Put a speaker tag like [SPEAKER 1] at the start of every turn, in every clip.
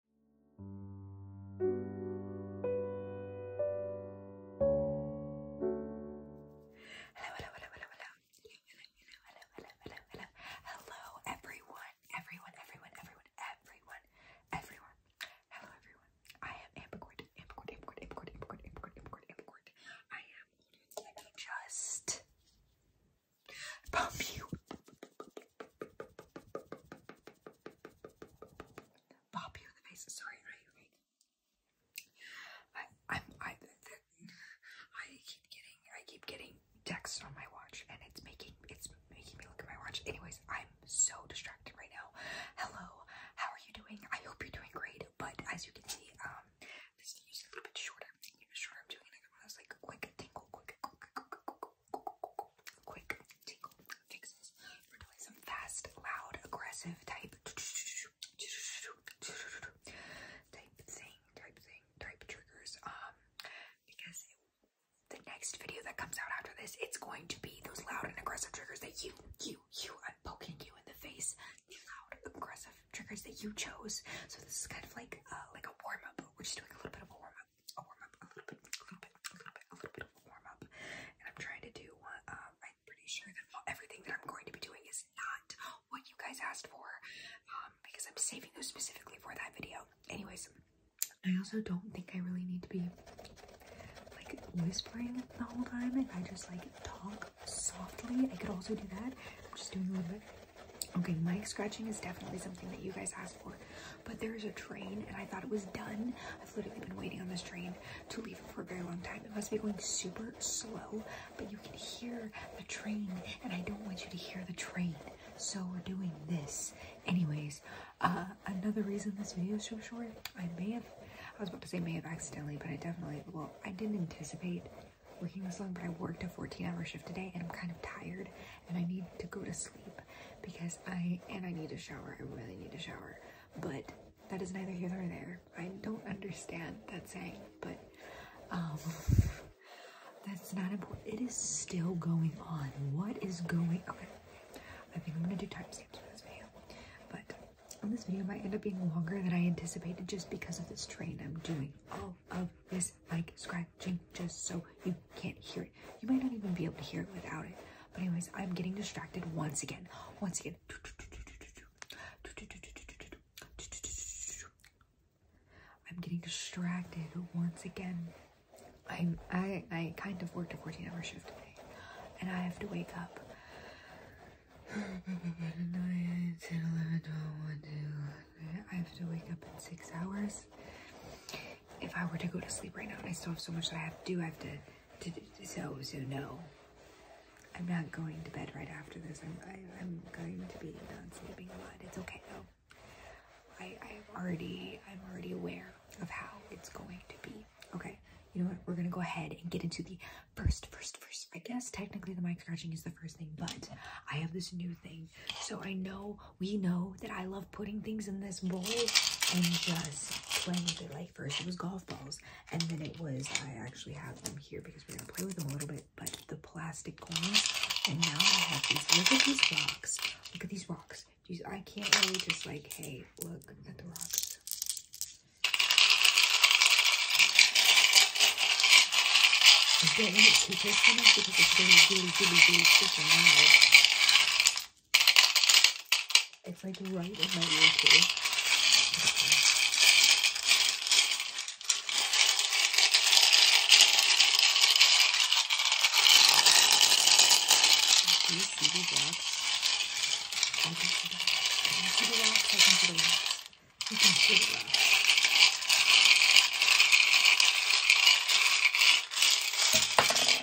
[SPEAKER 1] Hello, hello, hello, hello, hello. Hello, hello, hello, hello, hello, everyone, everyone, everyone, everyone, everyone, everyone. Hello, everyone. I am Ambercord, Ambercord, Ambercord, Ambercord, Ambercord, Ambercord, Ambercord, Ambercord. I am. just pump you. Pop you in the face. Sorry, right, right. I, I'm, I, I keep getting, I keep getting texts on my watch, and it's making, it's making me look at my watch. Anyways, I'm so distracted right now. Hello, how are you doing? I hope you're doing great. But as you can see, um, this is a little bit shorter. I'm shorter. I'm doing another one that's like quick, tingle, quick, quick tingle fixes for doing some fast, loud, aggressive type type thing, type thing, type triggers. Um, because the next video that comes out after this, it's going to be those loud and aggressive triggers that you, you, you, I'm poking you in the face. loud, aggressive triggers that you chose. So this is kind of like, uh, like a warm up. We're just doing a little bit of a warm a warm up, a little bit, a little bit, a little bit, a little bit of a warm up. And I'm trying to do um, I'm pretty sure that everything that I'm going to be doing is not what you guys asked for, um, because I'm saving those specifically for that video. Anyways, I also don't think I really need to be like whispering the whole time. If I just like talk softly, I could also do that. I'm just doing a little bit. Okay, my scratching is definitely something that you guys asked. But there is a train, and I thought it was done. I've literally been waiting on this train to leave for a very long time. It must be going super slow, but you can hear the train, and I don't want you to hear the train. So we're doing this. Anyways, uh, another reason this video is so short, I may have, I was about to say may have accidentally, but I definitely, well, I didn't anticipate working this long, but I worked a 14 hour shift today and I'm kind of tired and I need to go to sleep because I and I need a shower. I really need a shower. But that is neither here nor there. I don't understand that saying, but um that's not important. It is still going on. What is going on? I think I'm gonna do timestamps for this video. But on this video might end up being longer than I anticipated just because of this train I'm doing. All of this like scratching just so you can't hear it. You might not even be able to hear it without it. But anyways, I'm getting distracted once again. Once again. I'm getting distracted once again. I'm I I kind of worked a 14-hour shift today, and I have to wake up. 9, 2, I have to wake up in six hours if I were to go to sleep right now and I still have so much that I have to do, I have to, to, to so, so no. I'm not going to bed right after this. I'm, I, am going to be not sleeping a lot. It's okay though. I, I'm already, I'm already aware of how it's going to be. Okay, you know what? We're gonna go ahead and get into the first, first, first. I guess technically the mic scratching is the first thing, but I have this new thing so I know, we know that I love putting things in this bowl and just playing with it. Like first it was golf balls and then it was, I actually have them here because we're going to play with them a little bit, but the plastic coins. And now I have these, look at these rocks. Look at these rocks. I can't really just like, hey, look at the rocks. It's like right in my ear too. Do you see these rocks? I can see the rocks. I can see the rocks. I can see the rocks. I can see the rocks.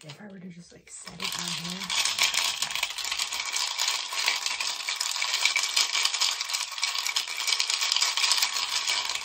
[SPEAKER 1] If I were to just like set it on here.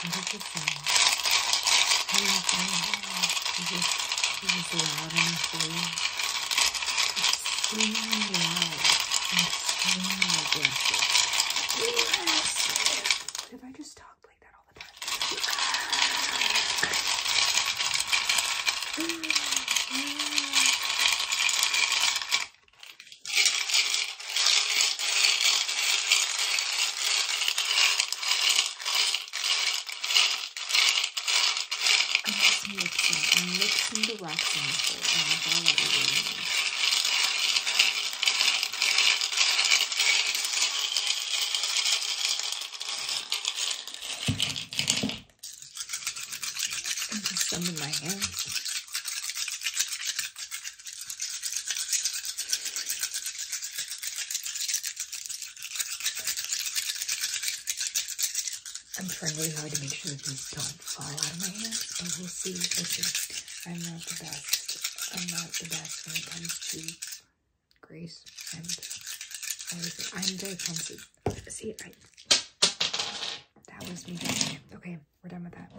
[SPEAKER 1] And it's just like, it's just, it's just loud and free. Extremely loud. Extremely aggressive. Aggressive. If I just talk I'm just mixing. i mixing the wax in this And that's all I really need some in my hands. I'm trying really hard to make sure these don't fall out of my hands, but we'll see. Listen, I'm not the best. I'm not the best when it comes to Grace and I'm very clumsy. See, I that was me doing it. Okay, we're done with that.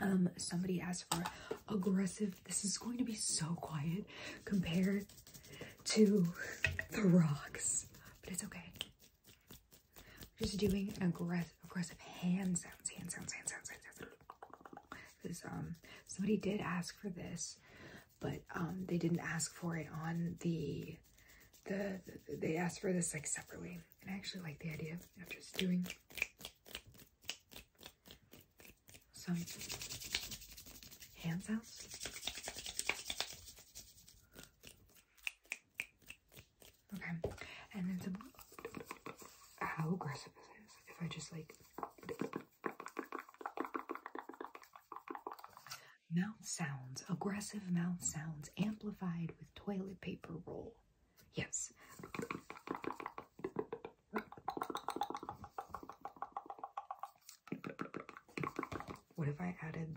[SPEAKER 1] Um, somebody asked for aggressive. This is going to be so quiet compared to the rocks, but it's okay. We're just doing aggressive, aggressive hand sounds, hand sounds, hand sounds, hand sounds because um somebody did ask for this but um they didn't ask for it on the the, they asked for this like separately and i actually like the idea of just doing some hand sounds okay and then some how aggressive this if i just like Mouth sounds, aggressive mouth sounds amplified with toilet paper roll. Yes. What if I added?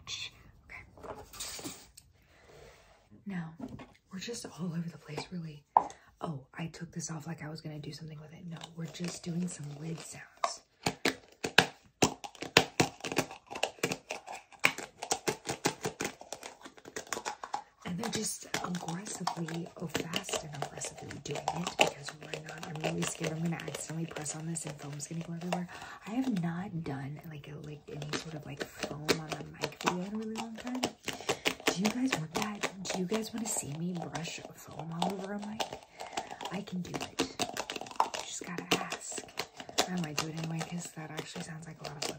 [SPEAKER 1] Okay. Now, we're just all over the place, really. Oh, I took this off like I was going to do something with it. No, we're just doing some lid sounds. And they're just aggressively, oh, fast and aggressively doing it because Oh I'm really scared I'm going to accidentally press on this and foam's going to go everywhere. I have not done like like any sort of like foam on a mic video in a really long time. Do you guys want that? Do you guys want to see me brush foam all over a mic? I can do it. You just gotta ask. I might do it anyway because that actually sounds like a lot of fun.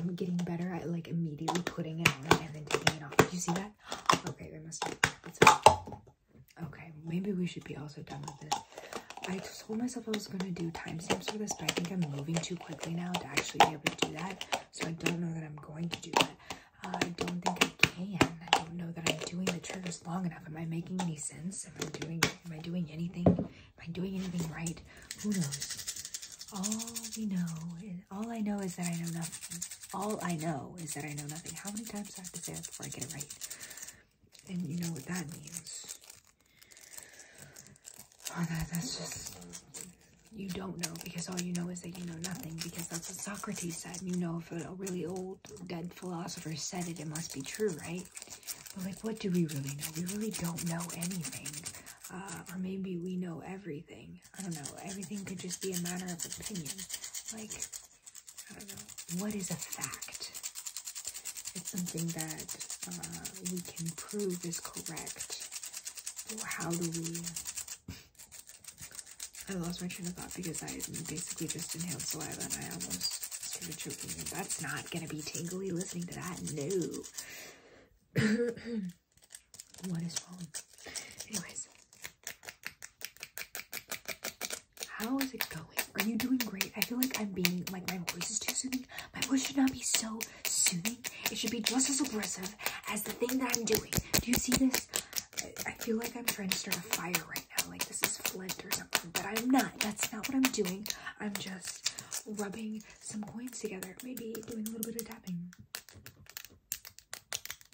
[SPEAKER 1] I'm, getting better at like immediately putting it on and then taking it off. Did you see that? Okay, there must be. Okay, maybe we should be also done with this. I told myself I was going to do timestamps for this, but I think I'm moving too quickly now to actually be able to do that. So I don't know that I'm going to do that. I don't think I can. I don't know that I'm doing the triggers long enough. Am I making any sense? Am I doing am I doing anything? Am I doing anything right? Who knows? All we know is, all I know is that I know nothing. All I know is that I know nothing. How many times I have to say that before I get it right? And you know what that means. Oh, that's just you don't know because all you know is that you know nothing because that's what Socrates said, you know, if a really old dead philosopher said it, it must be true, right? But like, what do we really know? We really don't know anything. Uh, or maybe we know everything. I don't know. Everything could just be a matter of opinion. Like, I don't know. What is a fact? It's something that uh, we can prove is correct. Or how do we I lost my train of thought because I basically just inhaled saliva and I almost started choking. that's not gonna be tingly listening to that. No. what is wrong? Anyways, how is it going? Are you doing great? I feel like I'm being like my voice is too soothing. My voice should not be so soothing. It should be just as oppressive as the thing that I'm doing. Do you see this? I feel like I'm trying to start a fire right now, like this is flint or something, but I'm not. That's not what I'm doing. I'm just rubbing some coins together, maybe doing a little bit of tapping.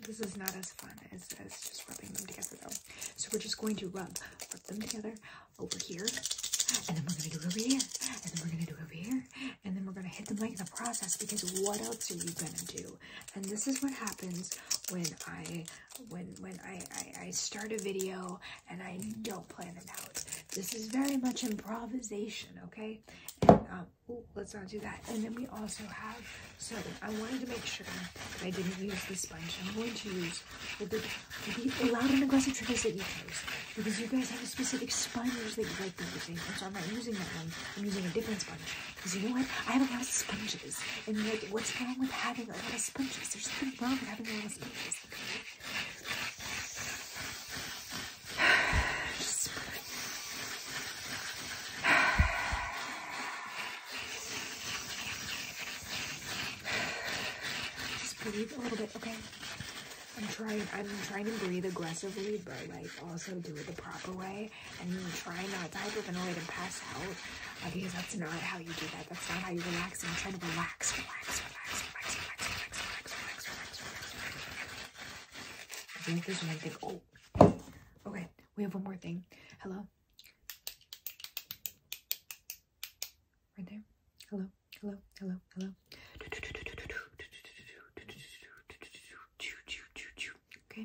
[SPEAKER 1] This is not as fun as, just rubbing them together, though. So we're just going to rub, rub them together over here, and then we're gonna do over here, and then we're gonna do it over here, and then we're gonna hit the light in the process because what else are you gonna do? and this is what happens when i when when I, I start a video and i don't plan it out this is very much improvisation okay um, let's not do that and then we also have so i wanted to make sure that i didn't use the sponge i'm going to use the, the, loud and aggressive triggers that you chose because you guys have a specific sponge that you like to use and so i'm not using that one i'm using a different sponge because you know what? I have a lot of sponges. And like, what's wrong with having a lot of sponges? There's nothing wrong with having a lot of sponges. Just breathe a little bit, okay? I'm trying, I'm trying to breathe aggressively, but like also do it the proper way away and try not to hyperventilate and pass out uh, because that's not how you do that. That's not how you relax. And I'm trying to relax, relax, relax, relax, relax, relax, relax, relax, relax, relax, relax. I think there's one thing. Oh, okay. We have one more thing. Hello. Right there. Hello. Hello. Hello. Hello. Okay,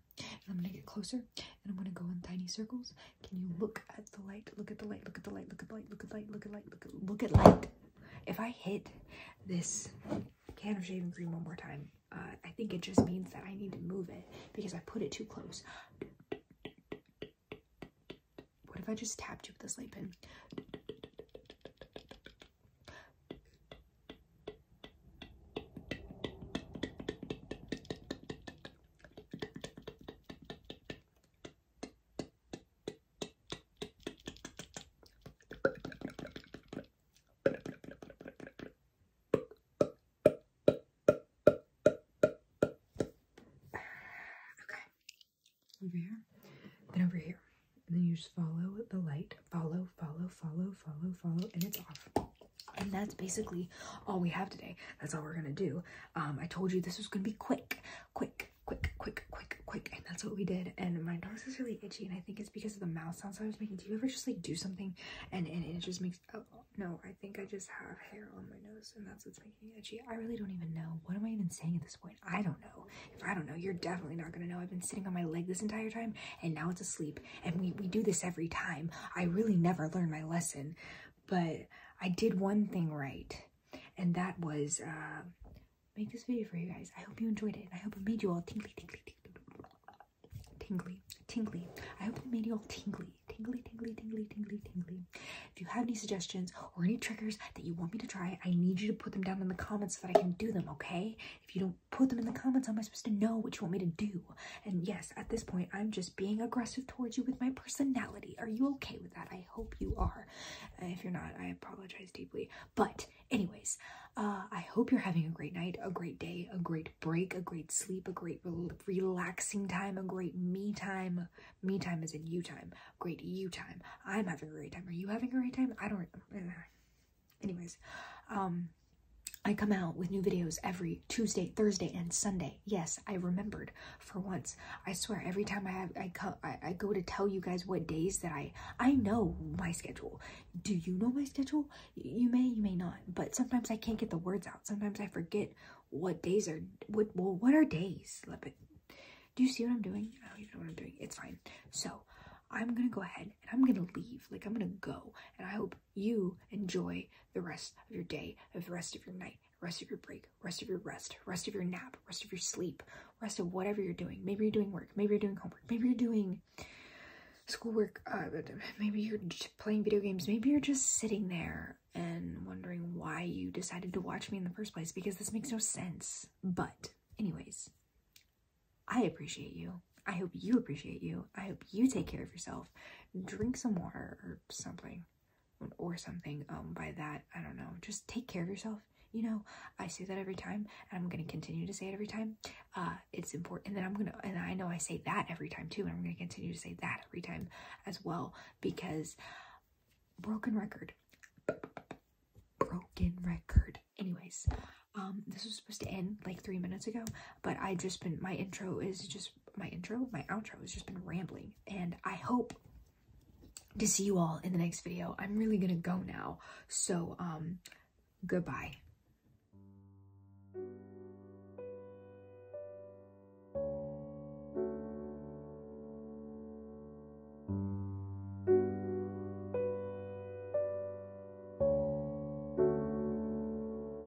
[SPEAKER 1] I'm gonna get closer and I'm gonna go in tiny circles. Can you look at the light? Look at the light, look at the light, look at the light, look at light, look at light, look at look at light. If I hit this can of shaving cream one more time, uh, I think it just means that I need to move it because I put it too close. What if I just tapped you with this light pen? Okay. Over here. Then over here. And then you just follow the light. Follow, follow, follow, follow, follow, and it's off. And that's basically all we have today. That's all we're gonna do. Um, I told you this was gonna be quick, quick, quick, quick, quick, quick, and that's what we did. And my nose is really itchy, and I think it's because of the mouse sounds I was making. Do you ever just like do something and, and it just makes oh no, I think I just have hair on my nose, and that's what's making itchy. I really don't even know. What am I even saying at this point? I don't know. If I don't know, you're definitely not gonna know. I've been sitting on my leg this entire time and now it's asleep, and we, we do this every time. I really never learn my lesson but I did one thing right, and that was uh, make this video for you guys. I hope you enjoyed it. I hope it made you all tingly, tingly, tingly, tingly, tingly. I hope it made you all tingly, tingly, tingly, tingly, tingly, tingly. If you have any suggestions or any triggers that you want me to try, I need you to put them down in the comments so that I can do them. Okay? If you don't put them in the comments, how am I supposed to know what you want me to do? And yes, at this point, I'm just being aggressive towards you with my personality. Are you okay with that? I hope you are. Uh, if you're not, I apologize deeply. But, anyways, uh, I hope you're having a great night, a great day, a great break, a great sleep, a great relaxing time, a great me time. Me time is in you time. Great you time. I'm having a great time. Are you having a great time? I don't. Uh, anyways, um, I come out with new videos every Tuesday, Thursday, and Sunday. Yes, I remembered for once. I swear, every time I have, I, co I, go to tell you guys what days that I, I know my schedule. Do you know my schedule? You may, you may not. But sometimes I can't get the words out. Sometimes I forget what days are, what, well, what are days? But do you see what I'm doing? I don't even know what I'm doing. It's fine. So I'm going to go ahead and I'm going to leave. Like, I'm going to go. And I hope you enjoy the rest of your day, of the rest of your night, rest of your break, rest of your rest, rest of your nap, rest of your sleep, rest of whatever you're doing. Maybe you're doing work, maybe you're doing homework, maybe you're doing schoolwork, uh, maybe you're playing video games, maybe you're just sitting there and wondering why you decided to watch me in the first place because this makes no sense. But, anyways, I appreciate you. I hope you appreciate you. I hope you take care of yourself drink some water or something or something um by that i don't know just take care of yourself you know i say that every time and i'm going to continue to say it every time uh it's important and then i'm going to and i know i say that every time too and i'm going to continue to say that every time as well because broken record broken record anyways um this was supposed to end like three minutes ago but i just been my intro is just my intro, my outro has just been rambling. And I hope to see you all in the next video. I'm really gonna go now. So, um, goodbye.